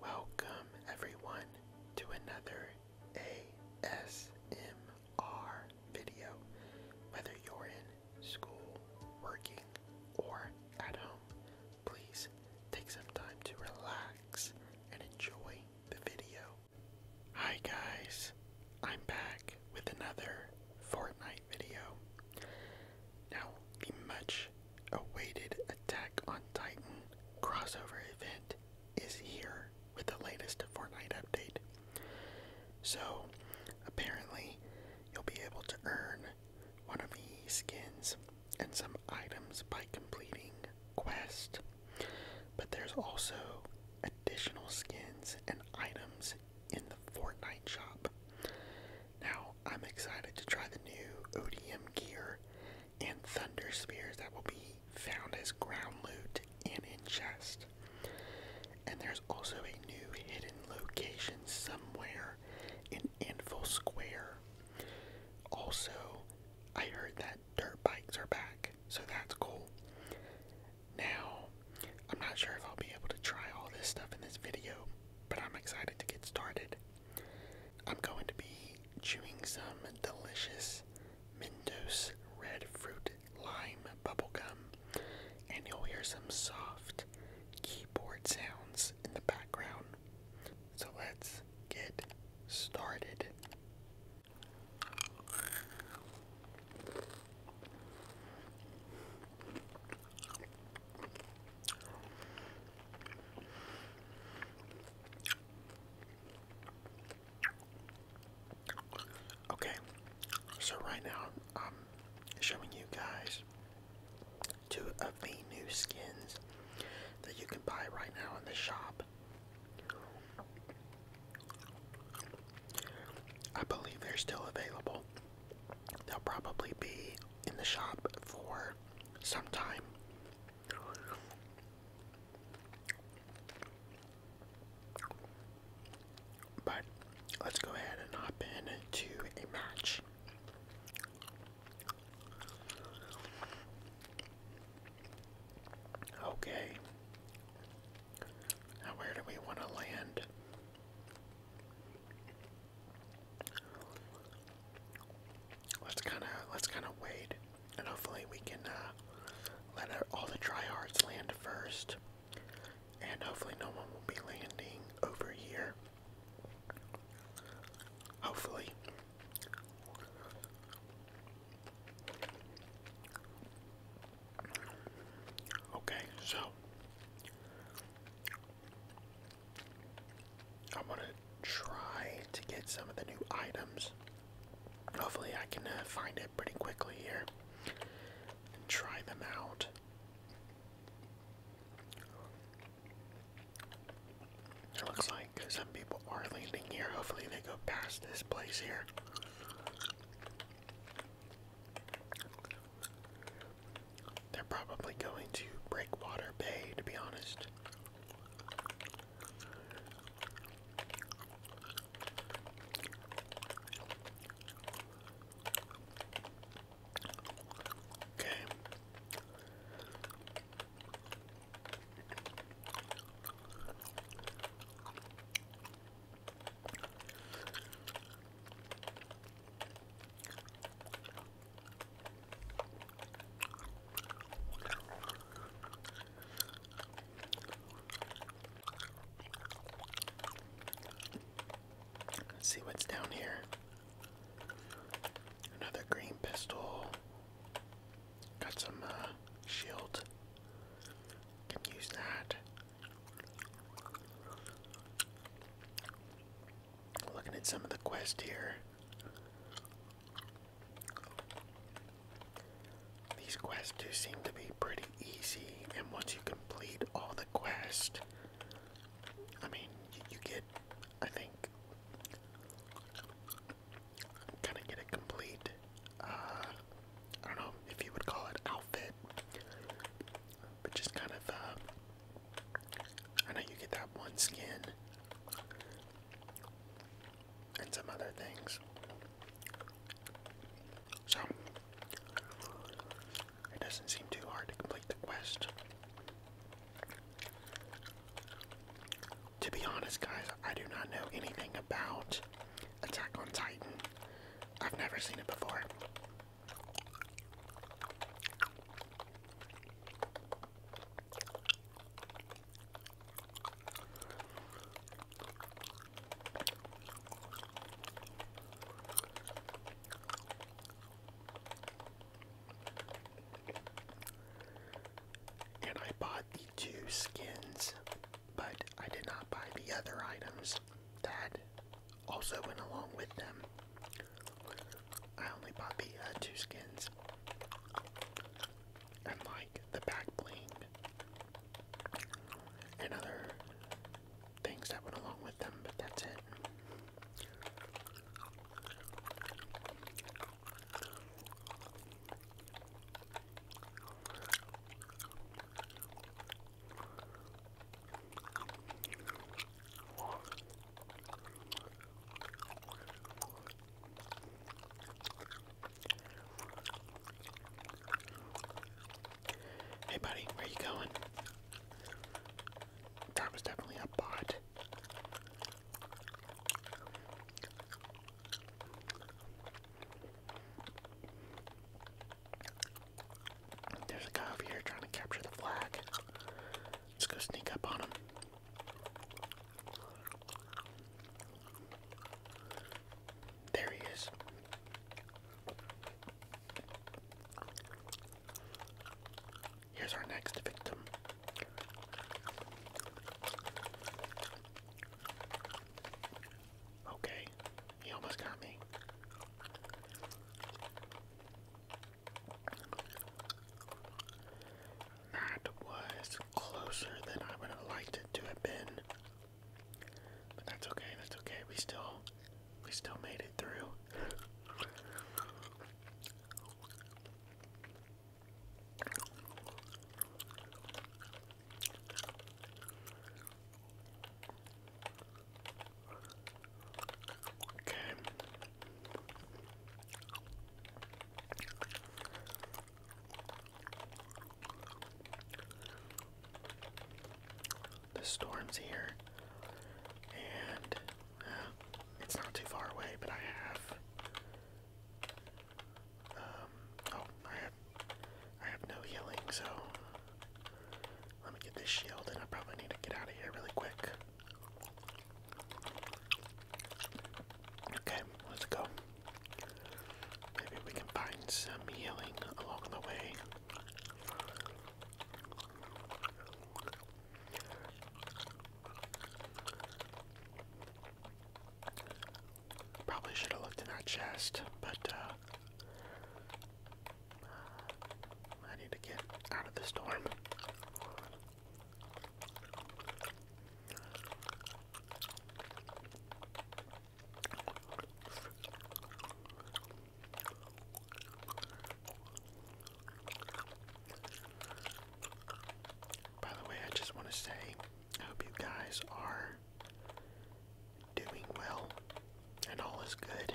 Welcome, everyone, to another ASMR video. Whether you're in school, working, or at home, please take some time to relax and enjoy the video. Hi, guys, I'm back with another Fortnite video. Now, the much awaited Attack on Titan crossover event is here with the latest Fortnite update. So, apparently, you'll be able to earn one of these skins and some items by completing quests, but there's also additional skins and items in the Fortnite shop. Now, I'm excited to try the new ODM gear and thunder spears that will be found as ground loot and in chest. And there's also a new hidden location somewhere in Anvil Square. Also, I heard that dirt bikes are back, so that's cool. Now, I'm not sure if I'll be able to try all this stuff in this video, but I'm excited to get started. I'm going to be chewing some delicious Mentos red fruit lime bubblegum, and you'll hear some soft keyboard sounds in the background. So let's get started. Okay, so right now I'm showing you guys two of the new skins that you can buy right now in the shop. I believe they're still available. They'll probably be in the shop for sometime. But let's go ahead and hop into a match. Okay. Now, where do we want to land? Let's kind of let's kind of wait, and hopefully we can uh, let our, all the dry hearts land first, and hopefully no one will be landing over here. Hopefully. Okay, so I'm gonna try to get some of the new items. Hopefully, I can uh, find it pretty quickly here and try them out. It looks like some people are landing here. Hopefully, they go past this place here. They're probably going to Breakwater Bay, to be honest. Okay. Let's see what's down here. Another green pistol. Got some uh, shield. Can use that. Looking at some of the quest here. These quests do seem to be pretty easy, and once you complete all the quests, I mean, you, get, I think, kind of get a complete, uh, I don't know if you would call it outfit, but just kind of uh, I know you get that one skin and some other things. So, it doesn't seem too hard to complete the quest. To be honest, guys, I do not know anything about Attack on Titan. I've never seen it before. And I bought the two skins, but I did not buy the other items that also went along with them. I only bought the uh, two skins. And like the back bling. And other things that went along with them, but that's it. Hey buddy, where you going? That was definitely a bot. There's a guy over here trying to capture the flag. Let's go sneak up on him. There he is. Here's our next victim. Okay, he almost got me. That was closer than I would have liked it to have been. But that's okay, that's okay. We still we still made it through. Okay. The storm's here, and uh, it's not too far away, but I have. Um, oh, I have, I have no healing, so let me get this shield, and I probably need to get out of here really quick. Okay, let's go. Maybe we can find some healing along the way. Probably should have looked in that chest, but uh, I need to get out of the storm. By the way, I just want to say I hope you guys are doing well and all is good.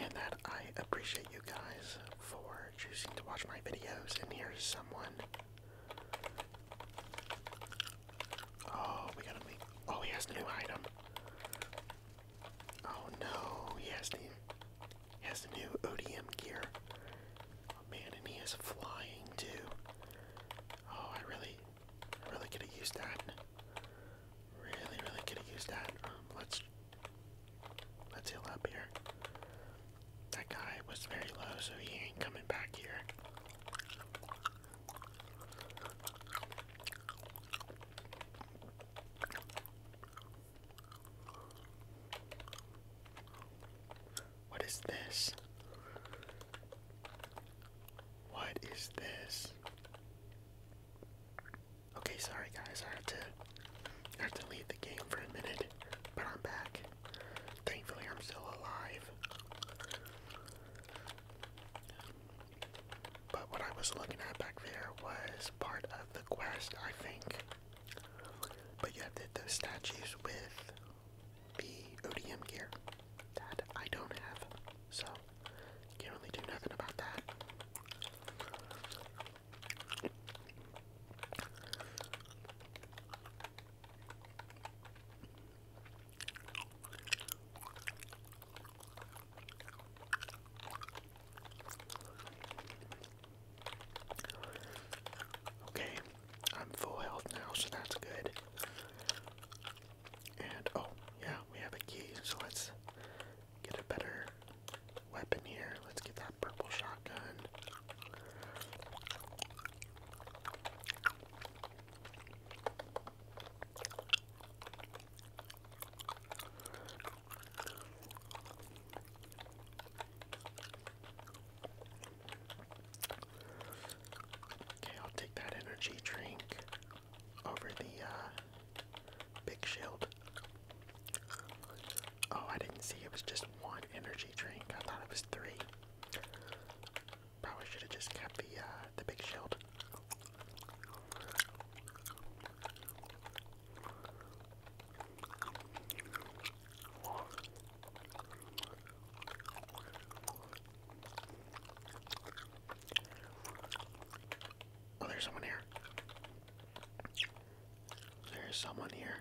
And that I appreciate you guys for choosing to watch my videos. And here's someone. Oh, we gotta make. Oh, he has the new item. Oh no, he has new. He has the new ODM gear. Oh man, and he is flying too. Oh, I really really could have used that. Really, really could have used that. Um, let's let's heal up here. That guy was very low, so he ain't coming back here. What is this? What is this? Okay, sorry guys, I have to have to leave the game for a minute, but I'm back. Thankfully I'm still alive. But what I was looking at back there was part of the quest, I think. But you have to hit those statues with the gear that I don't have, so can't do nothing about that. Okay, I'm full health now, so that's good. And oh, yeah, we have a key, so let's get a better weapon here. Let's get that purple shotgun. Okay, I'll take that energy drink over the uh, big shield. Oh, I didn't see it was just one energy drink. I thought it was three. Probably should have just kept the uh, the big shield. Oh, there's someone here. There's someone here.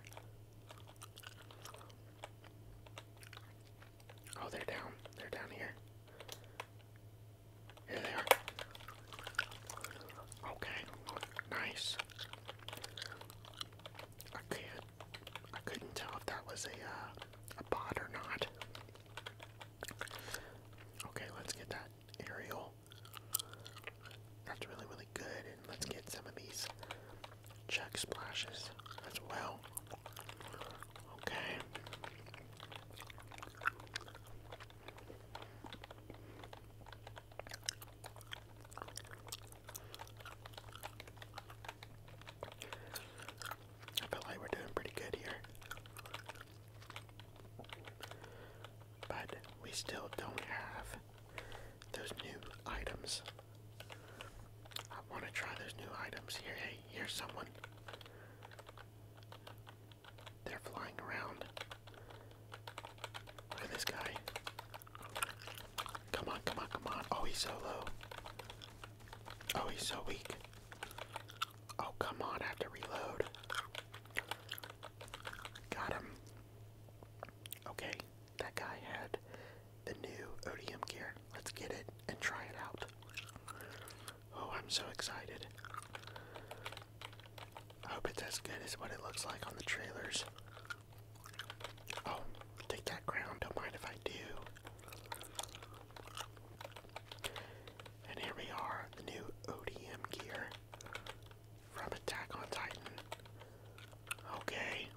Oh, they're down. They're down here. Here they are. Okay. Nice. Okay, I couldn't tell if that was a, uh, a bot or not. Okay, let's get that aerial. That's really, really good. And let's get some of these check splashes as well. Okay. I feel like we're doing pretty good here. But we still don't have those new items. I want to try those new items here. Hey, here's someone. They're flying around. Look at this guy. Come on, come on, come on. Oh, he's so low. Oh, he's so weak. Oh, come on, I have to reload. Got him. Okay, that guy had the new ODM gear. Let's get it and try it out. Oh, I'm so excited. I hope it's as good as what it looks like on the trailers. Oh, take that ground, don't mind if I do. And here we are, the new ODM gear from Attack on Titan. Okay.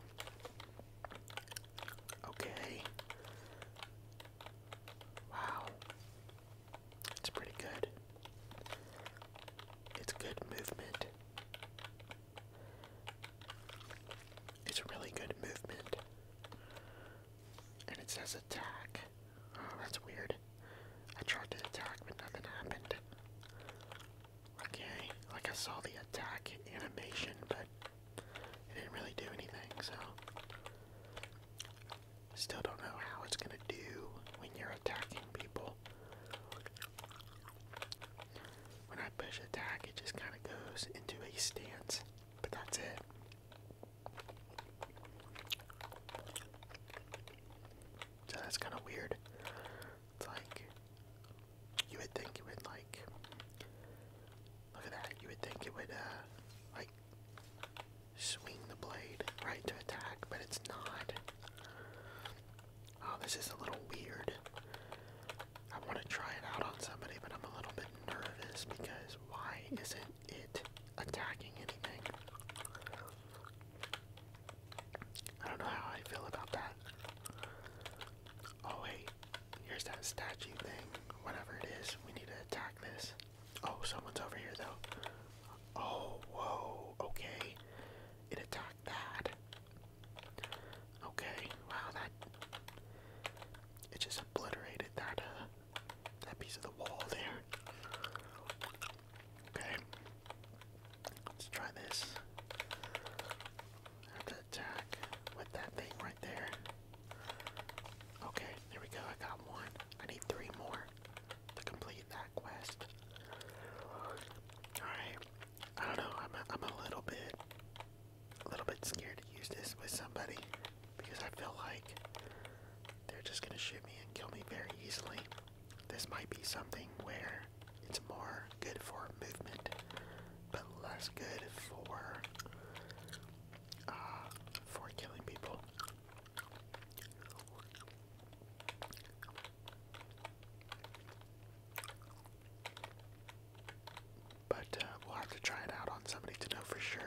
Okay. Wow. It's pretty good. It's good movement. It's a really good movement. And it says attack. Oh, that's weird. I tried to attack, but nothing happened. Okay, like I saw the attack animation, but I didn't really do anything, so. Still don't know how it's gonna do when you're attacking people. When I push attack, it just kind of goes into a stance, but that's it. So that's kind of weird. It's like, you would think it would like, look at that, you would think it would, uh, like, swing the blade right to attack, but it's not. Oh, this is a little weird. I want to try it out on somebody, but I'm a little bit nervous because why isn't it attacking anything? I don't know how I feel about that. Oh wait, here's that statue thing. Whatever it is, we need to attack this. Oh, someone's over here though. Oh, whoa, okay. It attacked that. Okay, wow, that it just obliterated that uh, that piece of the wall there. Okay. Let's try this. I have to attack with that thing right there. Okay, there we go. I got one. I need three more to complete that quest. Alright, I don't know. I'm a, I'm a little bit, a little bit scared to use this with somebody because I feel like they're just gonna shoot me and kill me very easily. This might be something where it's more good for movement, but less good for uh, for killing people. But uh, we'll have to try it out on somebody to know for sure.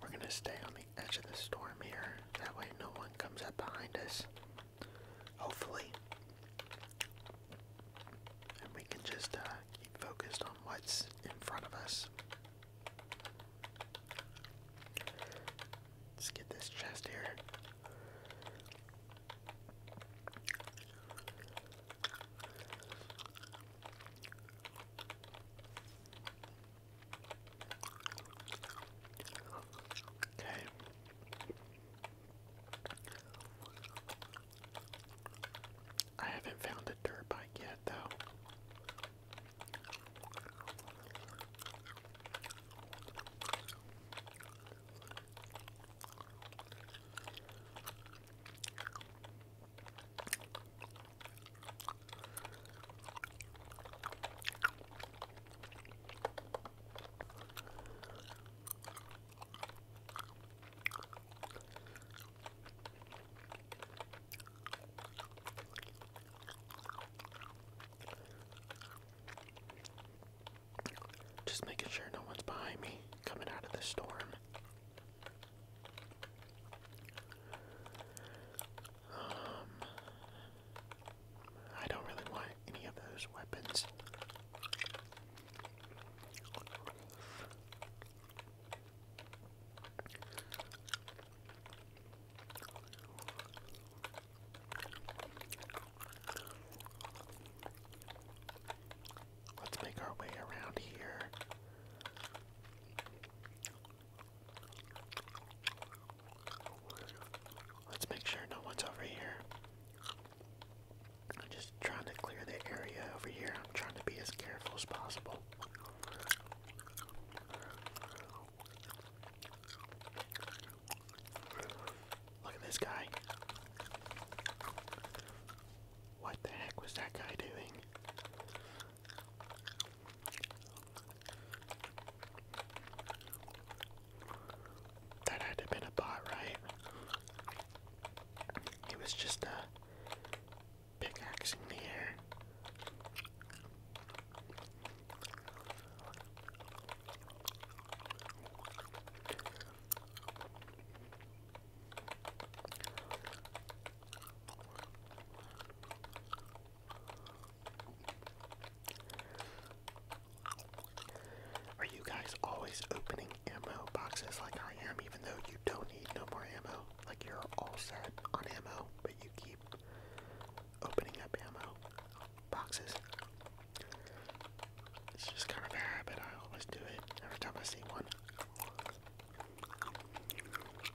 We're gonna stay on the edge of the storm here. That way no one comes up behind us. Hopefully. And we can just uh, keep focused on what's in front of us. Let's get this chest here. Okay. I haven't found a dirt bike yet, though. Just making sure no one's behind me coming out of the storm. Um, I don't really want any of those weapons. Let's make our way around here. Let's make sure no one's over here. I'm just trying to clear the area over here. I'm trying to be as careful as possible. Look at this guy. What the heck was that guy doing? That had to been a bot, right? It was just a pickaxe in the air. Are you guys always opening ammo boxes like I am, even though you don't need no more ammo? Like you're all set on ammo, but you keep opening up ammo boxes. It's just kind of a habit. I always do it every time I see one.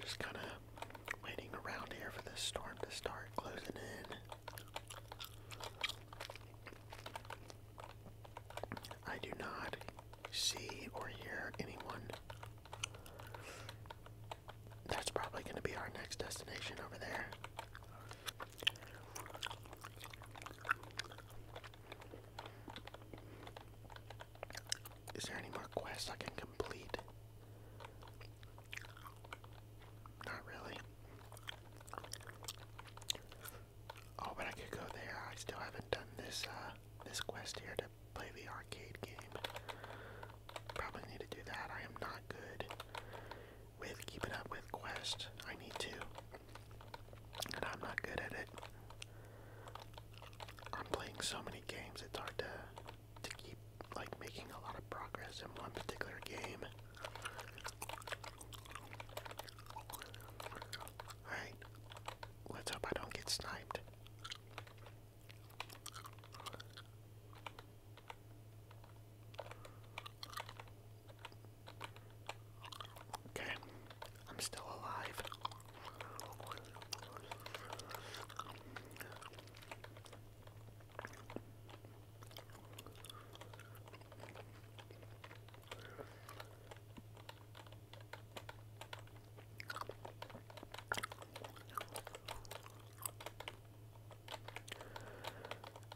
Just kind of waiting around here for this storm to start closing in. I do not see or hear anyone. That's probably going to be our next destination over there. Is there any more quests I can complete? Not really. Oh, but I could go there. I still haven't done this uh, this quest here to play the arcade game. Probably need to do that. I am not good with keeping up with quests. I need to. And I'm not good at it. I'm playing so many games, it's hard to, to keep like making a lot of progress in one particular game. Alright, let's hope I don't get sniped. Okay, I'm still alive.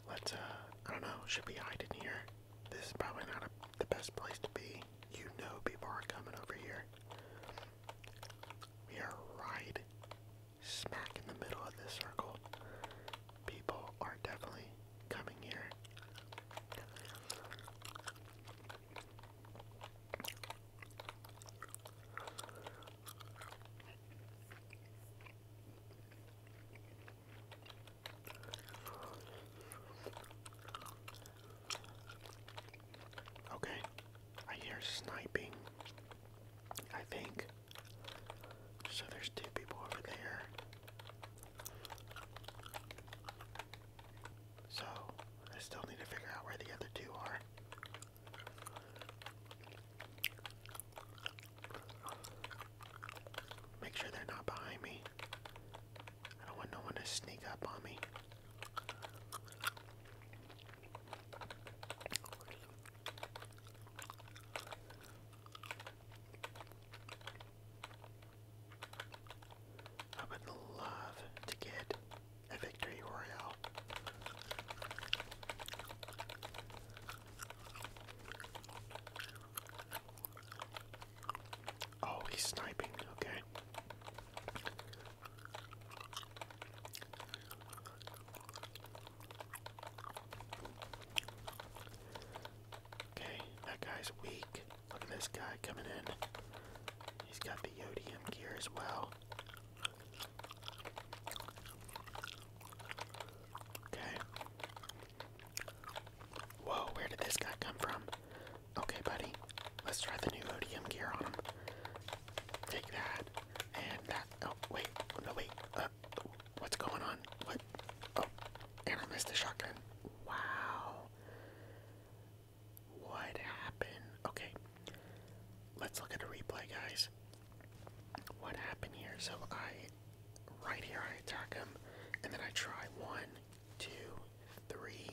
Let's, uh, I don't know, should we hide here? This is probably not the best place to be. You know people are coming over here. We are right smack in the middle of this circle. People are definitely coming here. Okay, I hear sniping. I think. So there's two people over there. So I still need to figure out where the other two are. Make sure they're not behind me. I don't want no one to sneak up on me. I would love to get a victory royale. Oh, he's sniping. Okay. Okay, that guy's weak. Look at this guy coming in. He's got the Yodium gear as well. Okay. Whoa, where did this guy come from? Okay, buddy, let's try the new ODM gear on him. Take that, and that. Oh, wait, no, wait. Uh, what's going on? What? Oh, and I missed the shotgun. Wow. What happened? Okay, let's look at the replay, guys. What happened here? So I, right here, I attack him, and then I try one, two, three.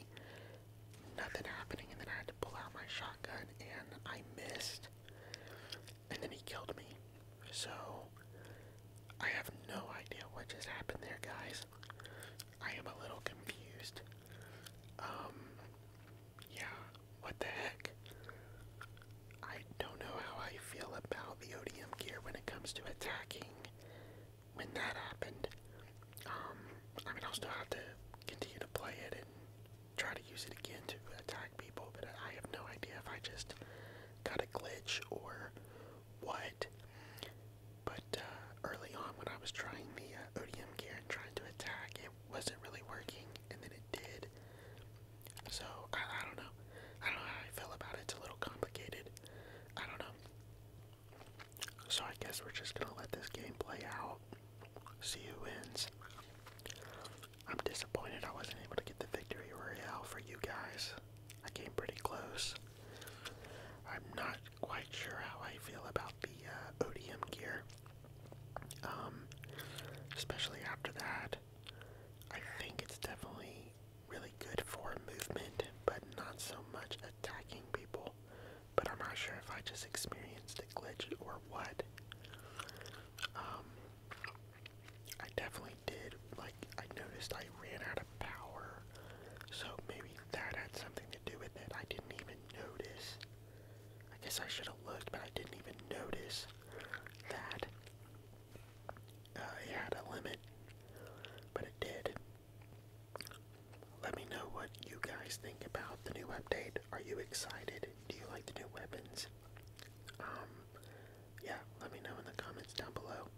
Nothing happening, and then I had to pull out my shotgun, and I missed. And then he killed me. So, I have no idea what just happened there, guys. I am a little confused. Um, yeah, what the heck? I don't know how I feel about the ODM gear when it comes to attacking when that happened. Um, I mean, I'll still have to continue to play it and try to use it again to attack people, but I have no idea if I just got a glitch or what. But uh, early on, when I was trying the uh, gear and trying to attack, it wasn't really working, and then it did. So I, I don't know. I don't know how I feel about it. It's a little complicated. I don't know. So I guess we're just gonna let this game play out. See who wins. I'm disappointed I wasn't able to get the victory royale for you guys. I came pretty close. I'm not quite sure how I feel about the uh, ODM gear. Um, especially after that. I think it's definitely really good for movement, but not so much attacking people. But I'm not sure if I just experienced a glitch or what. Um, I definitely did, like, I noticed I ran out of power, so maybe that had something to do with it. I didn't even notice. I guess I should have looked, but I didn't even notice that. Uh, it had a limit, but it did. Let me know what you guys think about the new update. Are you excited? Do you like the new weapons? Um, yeah, let me know in the comments down below.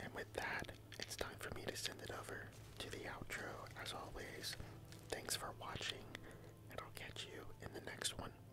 And with that, it's time for me to send it over to the outro. As always, thanks for watching, and I'll catch you in the next one.